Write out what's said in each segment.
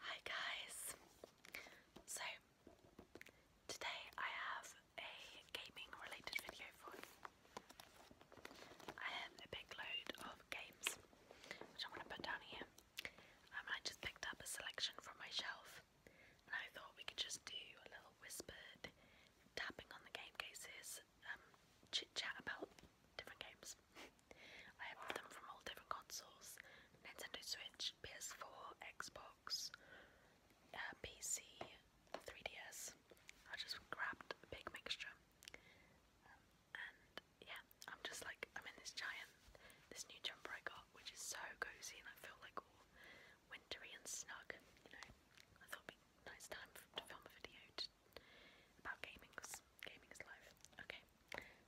Hi guys! So today I have a gaming related video for you. I have a big load of games which I'm going to put down here. Um, I just picked up a selection from my shelf and I thought we could just do a little whispered tapping on the game cases, um, chit chat about different games. I have them from all different consoles Nintendo Switch, PS4, Xbox, uh, PC, 3DS. I just grabbed a big mixture. Um, and yeah, I'm just like, I'm in this giant, this new jumper I got, which is so cozy and I feel like all wintry and snug. You know, I thought it'd be nice time to film a video about gaming gaming is life. Okay,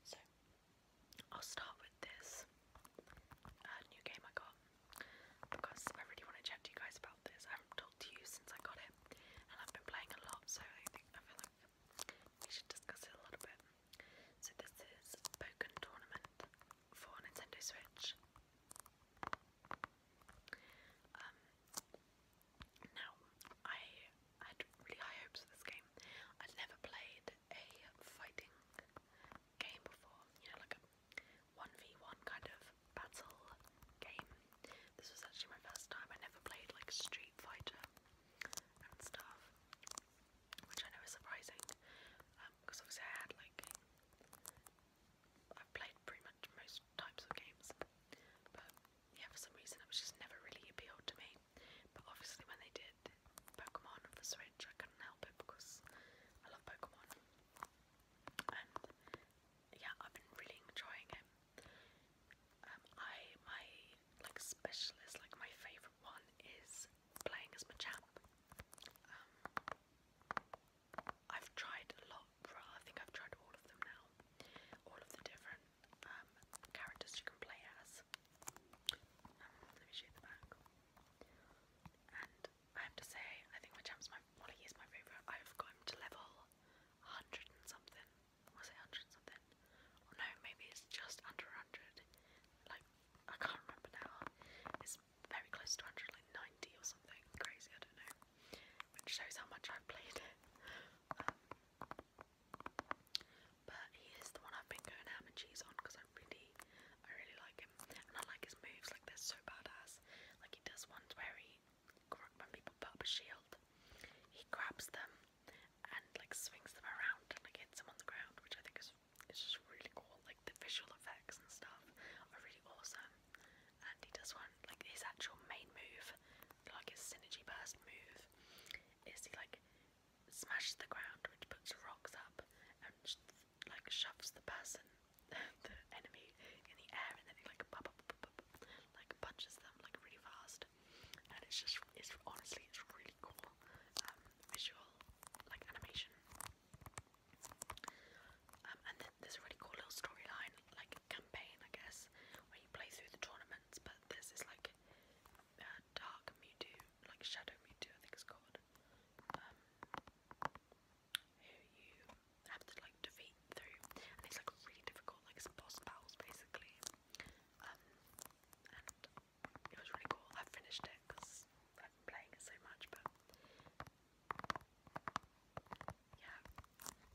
so I'll start with this uh, new game I got because I really want to chat to you guys about this. I haven't talked to you since I got it, and I've been playing a lot, so I think I feel like we should discuss it a little bit. So this is Pokken Tournament for Nintendo Switch. Um, now I I had really high hopes for this game. I'd never played a fighting game before, you know, like a 1v1 kind of battle game. This was actually my first time. I never played like Street Fighter and stuff, which I know is surprising because um, obviously I had like. I've played pretty much most types of games, but yeah, for some reason it was just never really appealed to me. But obviously, when they did Pokemon for Switch, I couldn't help it because I love Pokemon. And yeah, I've been really enjoying it. Um, I my like specialist, like my favorite one is playing as Machamp. Um, I've tried a lot. I think I've tried all of them now, all of the different um, characters you can play as. Um, let me show you the back. And I have to say, I think Machamp's my Molly is my favourite. I've got him to level 100 and something. Was it 100 something? no, maybe it's just under 100. Like, I can't remember now. It's very close to 100, like or something. Crazy, I don't know. Which shows how much I've played it. Um, but he is the one I've been going ham and cheese on because I really, I really like him, and I like his moves. Like they're so badass. Like he does ones where he, when people put up a shield, he grabs them and like swings them around and like hits them on the ground, which I think is it's just really cool. Like the visual effects and stuff are really awesome. And he does one like his actual main move, like his synergy burst move, is he like smashes the ground, which puts rocks up and like shoves the person, the enemy, in the air, and then like like punches them like really fast. And it's just, it's honestly, it's really cool um, visual like animation. Um, and then there's a really cool little storyline, like campaign, I guess, where you play through the tournaments. But this is like uh, Dark Mewtwo like Shadow Me Too, I think it's called. Um, who you have to like defeat through, and it's like really difficult, like some boss battles basically. Um, and it was really cool. I finished it because I'm playing it so much, but yeah,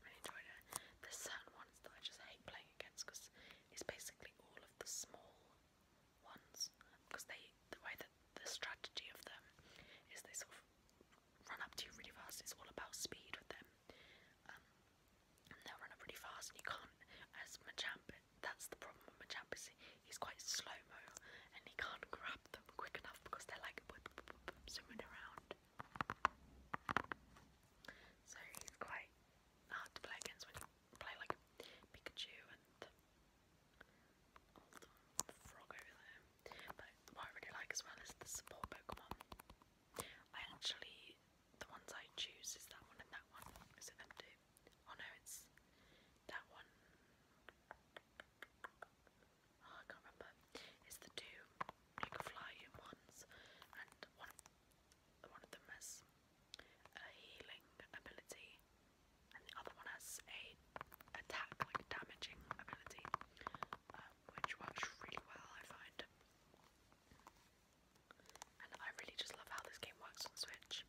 really enjoyed it. There's certain ones that I just hate playing against because it's basically all of the small ones because they the way that the strategy of them is they sort of run up to you really fast. It's all about speed with them. Um, and they'll run up really fast, and you can't. As Machamp, that's the problem with Machamp is he's quite slow mo, and he can't grab them quick enough because they're like boop, boop, boop, boop, zooming around. So he's quite hard to play against when you play like Pikachu and all the frog over there. But what I really like as well is the support Pokemon. I actually, the ones I choose is that one and that one. Is it them two? Oh no, it's that one. Oh, I can't remember. It's the two Fly ones and one one of them has a healing ability, and the other one has a attack, like damaging ability, um, which works really well, I find. And I really just love how this game works on Switch.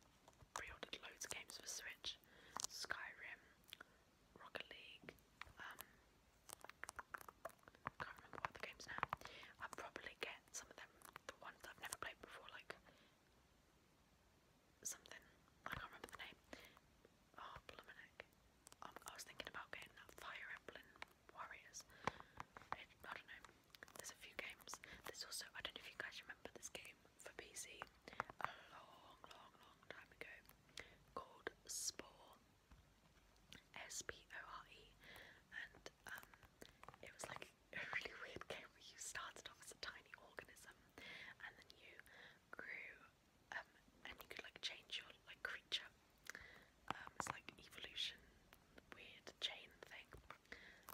pre loads of games for Switch: Skyrim, Rocket League. Um, can't remember what the games now. I probably get some of them, the ones I've never played before, like something, I can't remember the name. Oh, Pluminic. Um, I was thinking about getting Fire Emblem Warriors. I don't know, there's a few games. There's also, I don't know if you guys remember this game for PC a long, long, long time ago called Spore. S P O R E, and um, it was like a really weird game where you started off as a tiny organism and then you grew um, and you could like change your like creature. Um, it's like evolution, weird chain thing.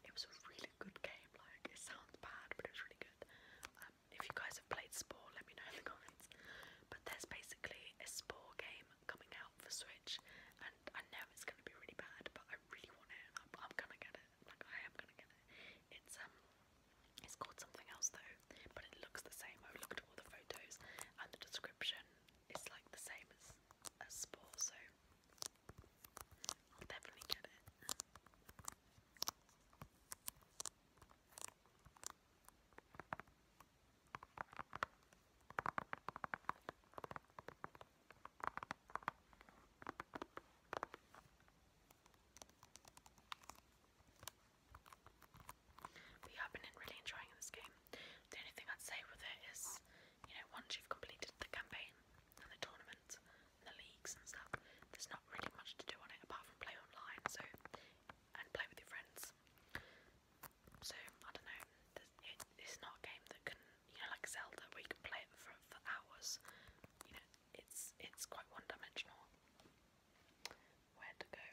It was a really good game. Like it sounds bad, but it was really good. Um, if you guys have played Spore, let me know in the comments. But there's basically a Spore game coming out for Switch, and and I know it's gonna be really bad, but I really want it. I'm, I'm gonna get it. Like I am gonna get it. It's um, it's called something else though, but it looks the same. I've looked at all the photos, and the description is like the same as as Spore, so I'll definitely get it. But I've been really enjoying this game. The only thing I'd say with it is, you know, once you've completed the campaign and the tournaments and the leagues and stuff, there's not really much to do on it apart from play online, so and play with your friends. So I don't know. It, it's not a game that can you know, like Zelda, where you can play it for for hours. You know, it's it's quite one-dimensional. Where to go?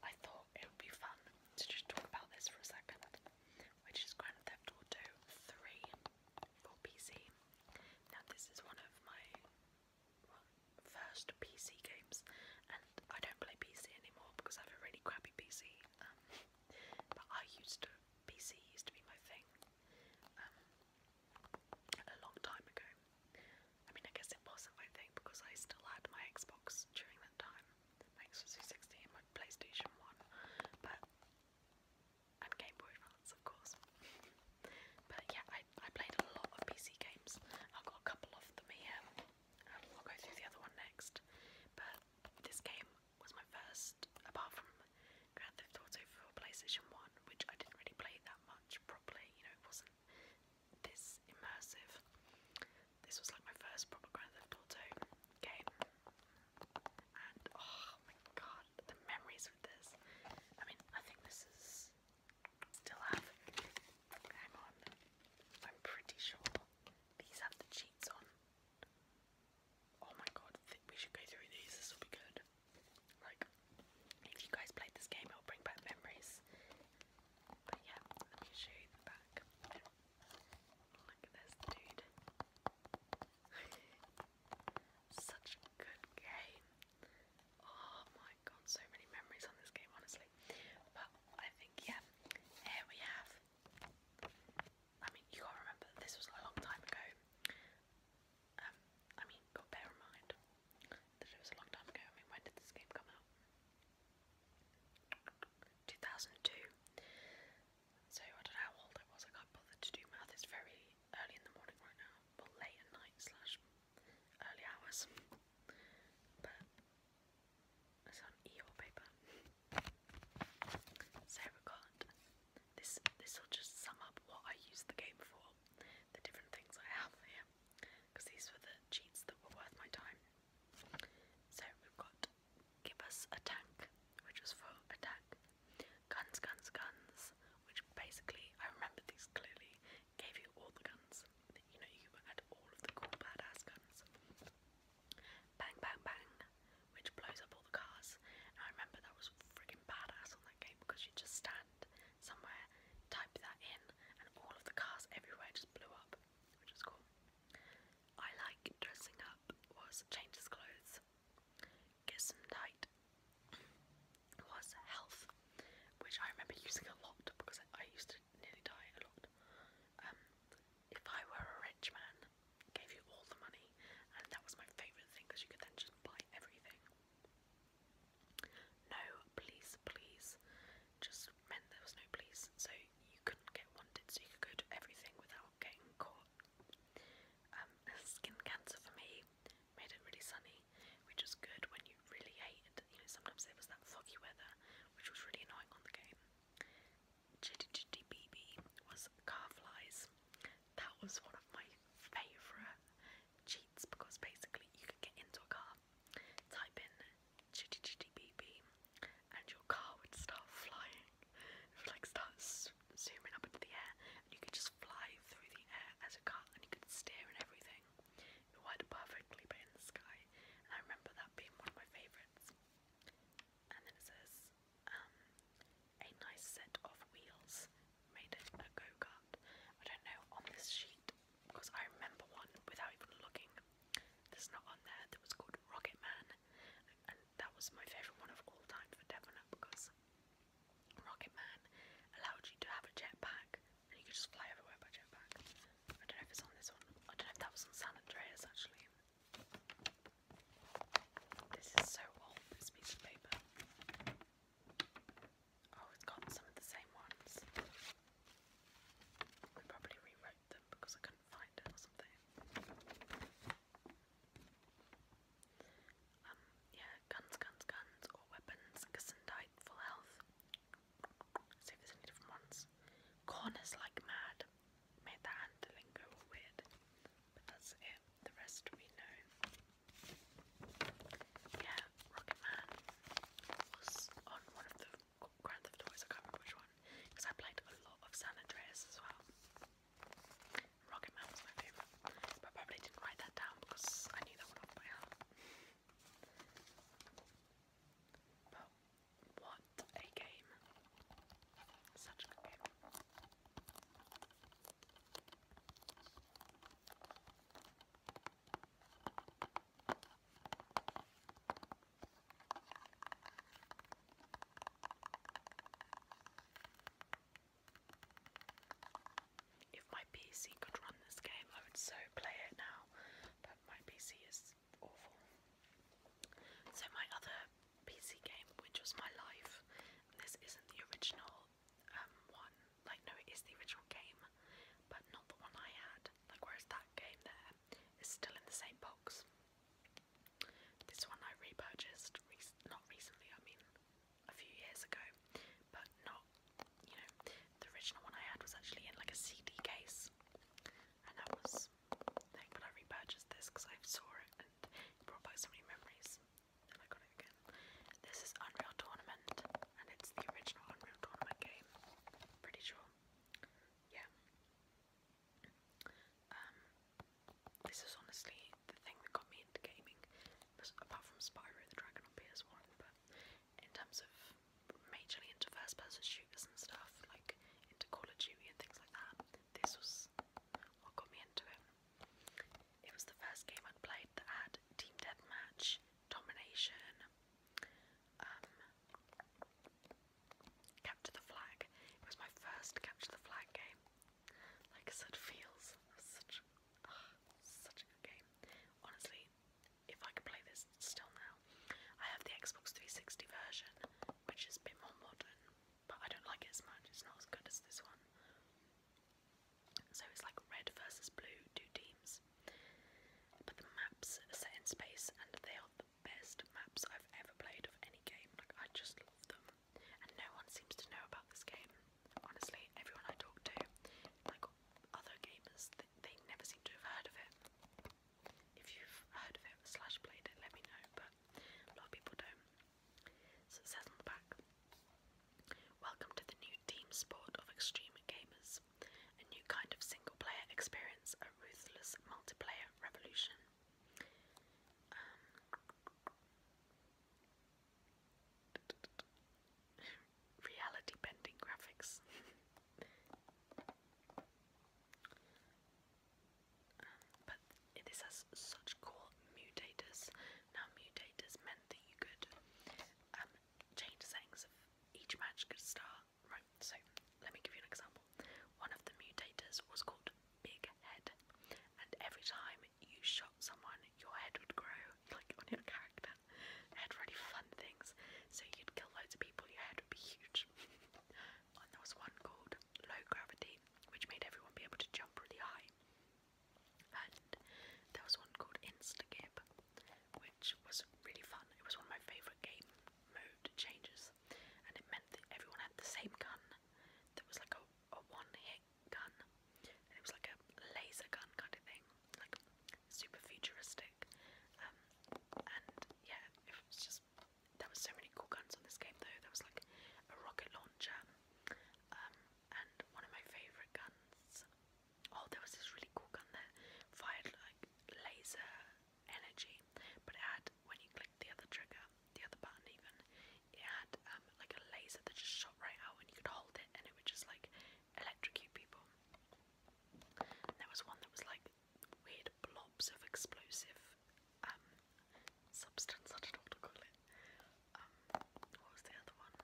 I thought it would be fun to just talk about this for a second, which is Grand Theft Auto 3 for PC. Now this is one of my first PC games, and I don't play PC anymore because I have a really crappy PC. Um, but I used to PC used to be my thing um, a long time ago. I mean, I guess it wasn't my thing because I still had my Xbox during that time, my Xbox 360 my PlayStation 1, but and Game Boy Advance, of course. but yeah, I, I played a lot of PC games. I've got a couple of them here. Um, I'll go through the other one next. But this game was my first, apart from Grand Theft Auto for PlayStation 1, which I didn't really play that much properly, you know, it wasn't this immersive. This was like my first proper Grand Theft Auto game. And oh my god, the memories of this. I mean, I think this is still have. Hang on. I'm pretty sure these have the cheats on. Oh my god, th we should go through these, this will be good. Like, if you guys played this game, it'll bring back memories. But yeah, let me show you the back. Look at this dude. Such a good game. Oh my god, so many memories on this game, honestly. But I think, yeah, here we have I mean, you gotta remember this was a long time ago. Um, I mean, bear in mind that it was a long time ago. I mean, when did this game come out? 2002. So I don't know how old I was. I can't to do math. It's very early in the morning right now, or late at night slash early hours. But it's on EO paper. Sarah can't. This this will just sum up what I used the game for, the different things I have here, because these were the cheats that were worth my time. So we've got give us a tank, which was for attack. Guns, guns, guns, which basically I remember these clearly gave you all the guns. You know you had all of the cool badass guns. Bang Bang Bang, which blows up all the cars. I remember that was freaking badass on that game because you just stand somewhere, type that in, and all of the cars everywhere just blew up, which was cool. I like dressing up was changes clothes. Get some tight was health, which I remember using a lot because I, used to nearly die a lot. Um, if I were a rich man, gave you all the money, and that was my favourite thing because you could then just buy everything. No, please, please, just meant there was no police, so you couldn't get wanted, so you could go to everything without getting caught. Um, skin cancer for me made it really sunny, which was good when you really hated. You know, sometimes there was that foggy weather, which was really annoying on the game. Chitty Chitty BB was car flies. That was one of my favourite cheats because basically you could get into a car, type in Chitty Chitty B B, and your car would start flying. It would like start zooming up into the air, and you could just fly through the air as a car, and you could steer and everything. It worked perfectly, but in the sky. And I remember that being one of my favourites. And then it says, um, a nice set of wheels, made it a go kart. I don't know on this sheet because I remember one without even looking. There's not on there that was called Rocket Man, and that was my favourite one of all time for definite because Rocket Man allowed you to have a jetpack and you could just fly everywhere by jetpack. I don't know if it's on this one. I don't know if that was on San Andreas actually. This is so old, this piece of paper. Oh, it's got some of the same ones. I probably rewrote them because I couldn't find it or something. Um, yeah, guns, guns, guns, or weapons, gesundheit, full health. See if there's any different ones. Corners like mad made that handling go weird. But that's it. The rest we know. Yeah, Rocket Man was on one of the Grand Theft Autos, I can't remember which one, because I played a lot of San Andreas as well. Rocket Man was my favourite, but probably didn't write that down because I knew that one off by heart. But what a game! Such a game. If my PC could run this game, I would so play it now, but my PC is awful. So, my other PC game, which was my life. this isn't the original um, one. Like, no, it is the original game, but not the one I had. Like, whereas that game there is still in the same box. This one I repurchased, not recently, I mean a few years ago, but not, you know, the original one I had was actually in like a CD case, and that was thing, but I repurchased this because I saw it and brought back so many memories. And I got it again. This is Unreal Tournament, and it's the original Unreal Tournament game. Pretty sure. Yeah. Um, this is honestly the thing that got me into gaming, apart from Spyro the Dragon on PS1. But in terms of majorly into first-person shooters and stuff, like into Call of Duty and things like that, this was what got me into it. It was the first game I'd played that had team deathmatch, domination, um, capture the flag. It was my first capture the flag game. Like I said, feels such, such a good game. Honestly, if I could play this still now, I have the Xbox 360 version, which is a bit more modern but I don't like it as much. It's not as good as this one. So it's like red versus blue, two teams. But the maps are set in space, and they are the best maps I've ever played of any game. Like I just love them, and no one seems to know about this game. Honestly, everyone I talk to, like other gamers, they, they never seem to have heard of it. If you've heard of it slash played it, let me know. But a lot of people don't. So back Welcome to the new team sport of extreme gamers, a new kind of single player experience, a ruthless multiplayer revolution. Um, reality bending graphics but this has such cool mutators. Now, mutators meant that you could um, change the of each match could Right, so let me give you an example. One of the mutators was called Big Head, and every time you shot someone, your head would grow, like on your character. It had really fun things. So you'd kill loads of people, your head would be huge. and there was one called low gravity, which made everyone be able to jump really high. And there was one called Instagib, which was really fun. It was one of my favourite game mode changes, and it meant that everyone had the same gun. That was like a, a one-hit gun, it was like a laser gun kind of thing, like super futuristic. Um, and yeah, it was just there was so many cool guns on this game though. There was like a rocket launcher, um, and one of my favourite guns. Oh, there was this really cool gun that fired like laser energy, but it had when you clicked the other trigger, the other button even, it had um, like a laser that just shot right out, and you could hold it, and it would just like electrocute people. there was one that was like weird blobs of explosive um, substance, I don't know um, what was the other one?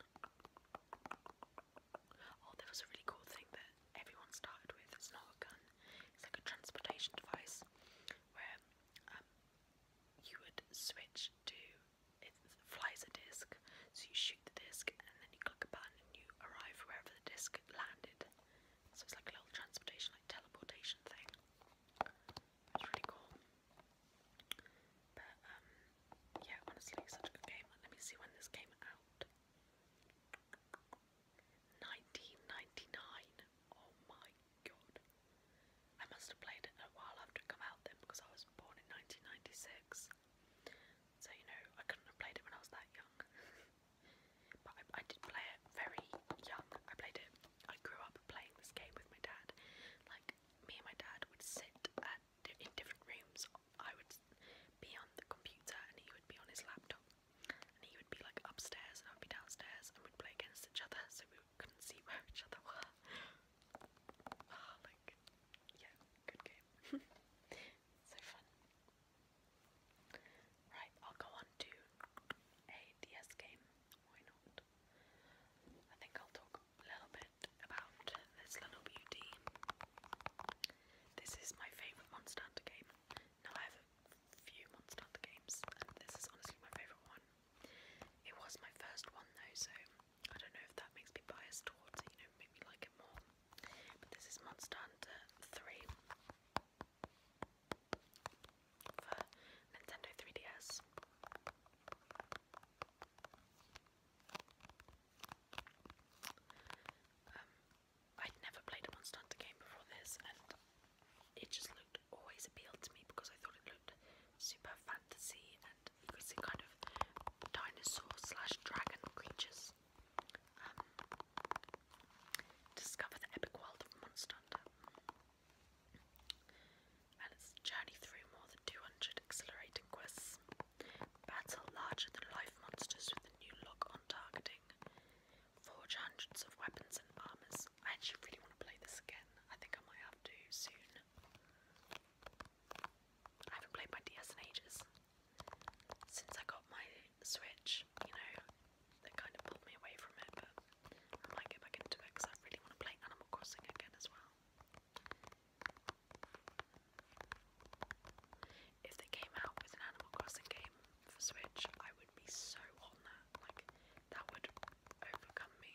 Oh, there was a really cool thing that everyone started with. It's not a gun, it's like a transportation device where um, you would switch to it flies a disc, so you shoot the disc and then you click a button and you arrive wherever the disc landed. So it's like a little transportation, like teleportation thing. That's really cool. But um yeah, honestly such a good game. Let me see when this came out. 1999. Oh my god. I must have played it a while after it came out then because I was born in 1996. So you know, I couldn't have played it when I was that young. but I did play it very young. I played it I grew up playing this game with my dad. Like me and my dad would sit at, in different rooms. I would be on the computer and he would be on his laptop. And he would be like upstairs and I would be downstairs and we'd play against each other so we couldn't see where each other were. Ah, like, yeah, good game. so fun. Right, I'll go on to a DS game. Why not? I think I'll talk a little bit about this little beauty. This is my favourite Monster Hunter game. Now I have a few Monster Hunter games, and this is honestly my favourite one. It was my first one though, so I don't know if that makes me biased towards it, you know, make me like it more. But this is Monster Hunter 3 for Nintendo 3DS. Um, I'd never played a Monster Hunter game before this, and it just looked always appealed to me because I thought it looked super fantasy and you kind of dinosaur slash dragon creatures. Um, discover the epic world of Monster Hunter and its journey through more than 200 exhilarating quests. Battle larger than life monsters with a new lock on targeting. Forge hundreds of weapons and armors. I actually really want to play this again. I think I might have to soon. I haven't played my DS in ages. Since I got my Switch, you know, that kind of pulled me away from it, but I might going back into it because I really want to play Animal Crossing again as well. If they came out with an Animal Crossing game for Switch, I would be so on that. Like, that would overcome me.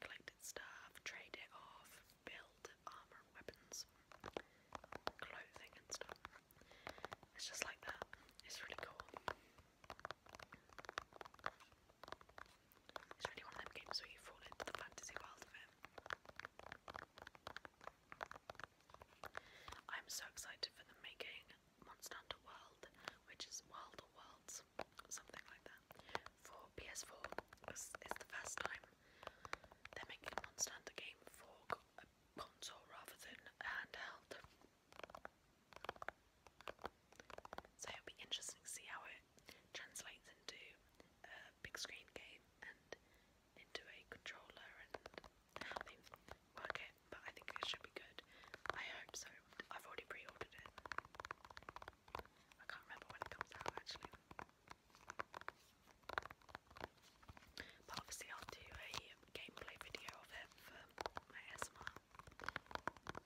Collected stuff, trade it off, build armour weapons, clothing and stuff. It's just like that. It's really cool. It's really one of them games where you fall into the fantasy world I'm so excited for the making Monster Hunter World, which is Wilder Worlds something like that, for PS4. It's, it's the first time they're making a Monster game for a console rather than handheld. So it'll be interesting to see how it translates into a big screen game and into a controller and how But I think it should be good. I hope so. I've already pre-ordered it. I can't remember when it comes out actually. But obviously, I'll do a gameplay video of it for my ASMR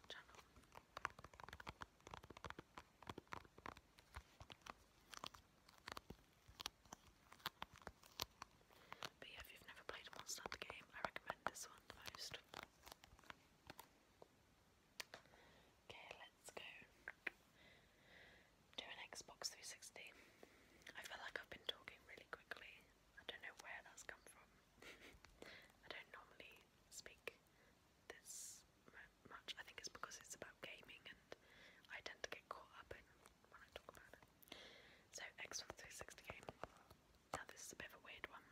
channel. But if you've never played Monster Hunter game, I recommend this one the most. Okay, let's go do an Xbox 360. I feel like I've been talking really quickly. I don't know where that's come from. I don't normally speak this much. I think it's because it's about gaming and I tend to get caught up in when I talk about it. So Xbox 360 game. Now this is a bit of a weird one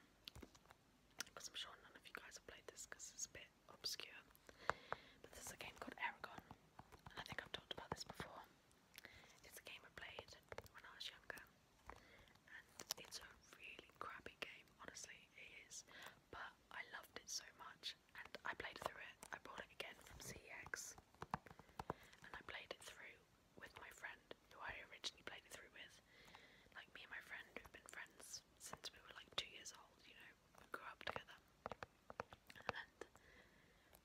because I'm sure none of you guys have played this because it's a bit obscure. But this is a game called Aragon, and I think I've talked about this before. It's a game I played when I was younger, and it's a really crappy game, honestly, it is. But I loved it so much, and I played through it. I bought it again from CX, and I played it through with my friend who I originally played it through with. Like me and my friend who've been friends since we were like two years old, you know, we grew up together. And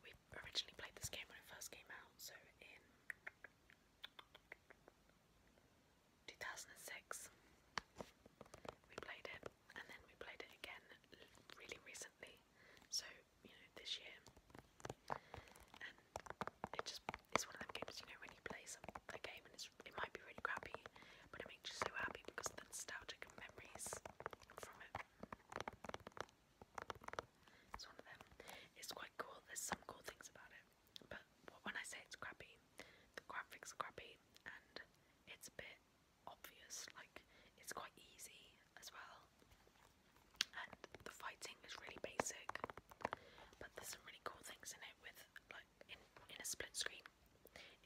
we originally played this game when it first came out, so in 2006 we played it, and then we played it again really recently, so you know, this year. And it just it's one of them games, you know, when you play some a game and it's, it might be really crappy, but it makes you so happy because of the nostalgic memories from it. It's one of them. It's quite cool. There's some cool things about it, but when I say it's crappy, the graphics are crappy and it's a bit obvious. Like it's quite easy as well, and the fighting is really basic. But there's some really cool things in it with like in, in a split screen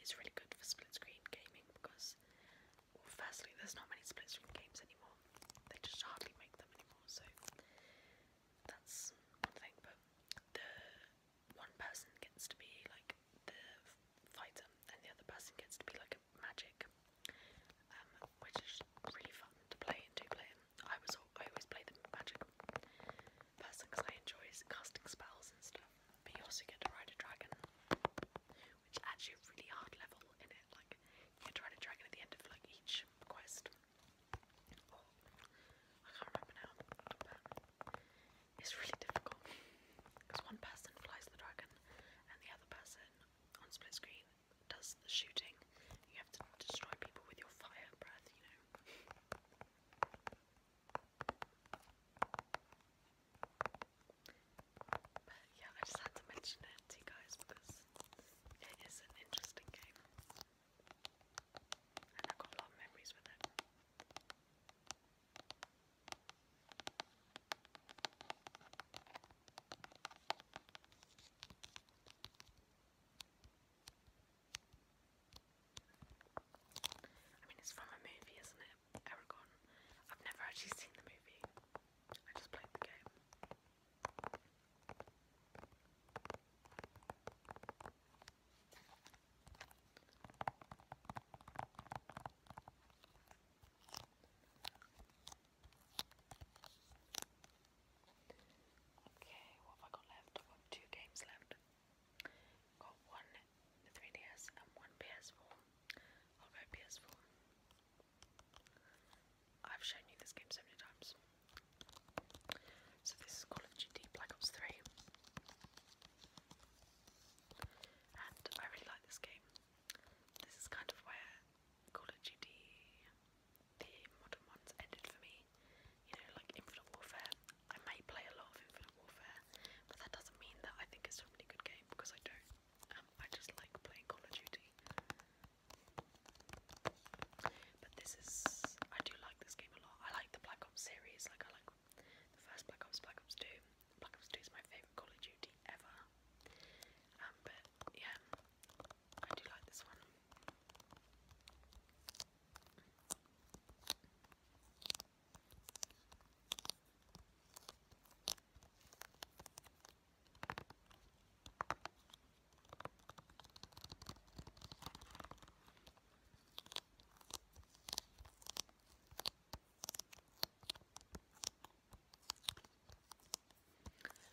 it's really good for split screen gaming because, firstly, there's not many split screen games anymore. They just hardly make them anymore, so that's one thing. But the one person gets to be like the fighter, and the other person gets to be like a magic, um, which is really fun to play in two player. I was I always play the magic person because I enjoy casting spells and stuff. But you also get to ride a dragon, which is actually a really hard level in it. Like you get to ride a dragon at the end of like each quest. I can't remember now, it's really difficult because one person flies the dragon and the other person on split screen does the shooting. You have to destroy people with your fire breath, you know. But yeah, I just had to mention it you guys because it is an interesting game. And I've got a lot of memories with it. I mean, it's from a movie, isn't it? Eragon. I've never actually seen the movie. I just played the game. Okay, what have I got left? I've got two games left. Got one 3DS and one PS4. I'll go PS4. I've shown you this game so many times. So this is Call of Duty Black Ops 3. And I really like this game. This is kind of where Call of Duty the modern ones ended for me you know, like Infinite Warfare. I may play a lot of Infinite Warfare, but that doesn't mean that I think it's a really good game because I don't. Um, I just like playing Call of Duty. But this is. I do like this game a lot. I like the Black Ops series. Like, I like the first Black Ops, Black Ops 2. Black Ops 2 is my favourite Call of Duty ever. Um, but yeah, I do like this one.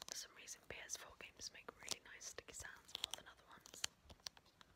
For some reason PS4 games make really nice sticky sounds more than other ones.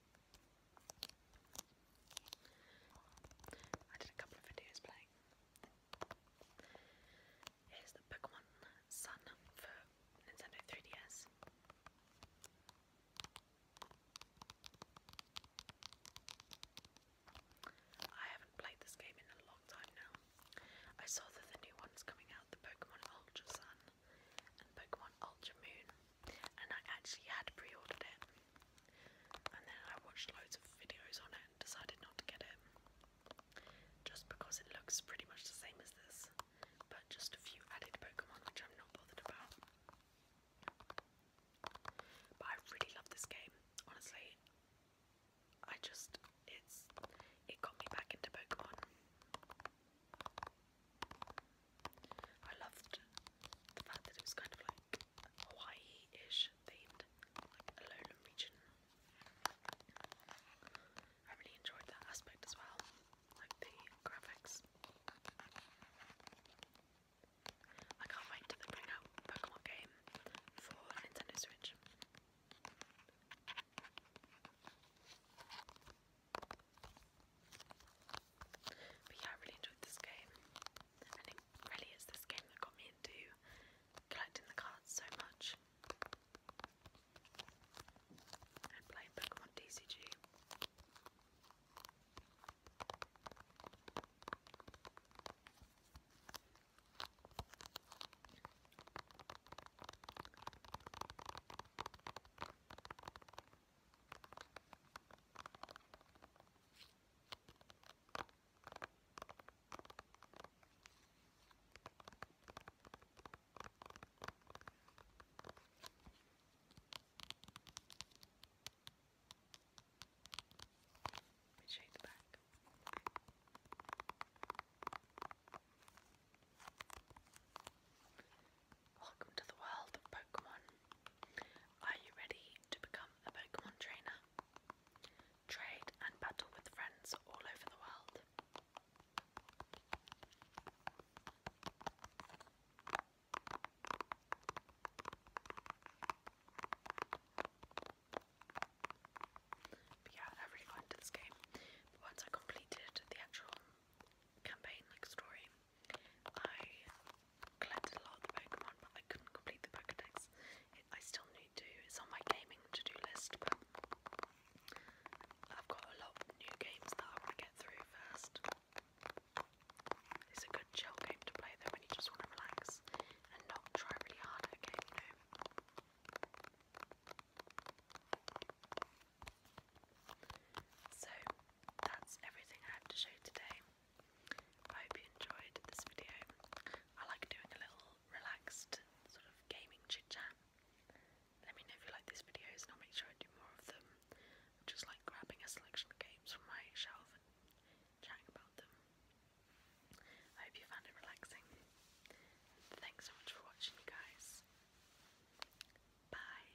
I did a couple of videos playing. Here's the Pokemon Sun for Nintendo 3DS. I haven't played this game in a long time now. I saw that the new one's coming out, the Pokemon Ultra Sun and Pokemon Ultra Moon and I actually had pre-ordered it and then I watched loads of videos on it and decided not to get it just because it looks pretty much the same as this but just a few added Pokemon which I'm not bothered about but I really love this game honestly I just it's it got me back into Pokemon I loved the fact that it was kind of like Hawaii-ish themed, a lowland region. I really enjoyed that aspect as well, like the graphics. I can't wait till they bring out Pokemon game for Nintendo Switch. But yeah, I really enjoyed this game, and it really is this game that got me into collecting the cards so much. And playing Pokemon DCG. Let me show you the back. Welcome to the world of Pokemon. Are you ready to become a Pokemon trainer? Trade and battle with friends all over the world. But yeah, I really got into this game. once I completed the actual campaign like story, I collected a lot of Pokemon, but I couldn't complete the Pokedex. I still need to. It's on my gaming to-do list, but I've got a lot of new games that I want to get through first. It's a good chill game to play though when you just want to relax and not try really hard at a you know. So that's everything I have to show today. I hope you enjoyed this video. I like doing a little relaxed sort of gaming chit chat. Let me know if you like these videos and I'll make sure I do more of them. just like grabbing a selection of games from my shelf and chatting about them. I hope you found it relaxing. Thanks so much for watching you guys. Bye.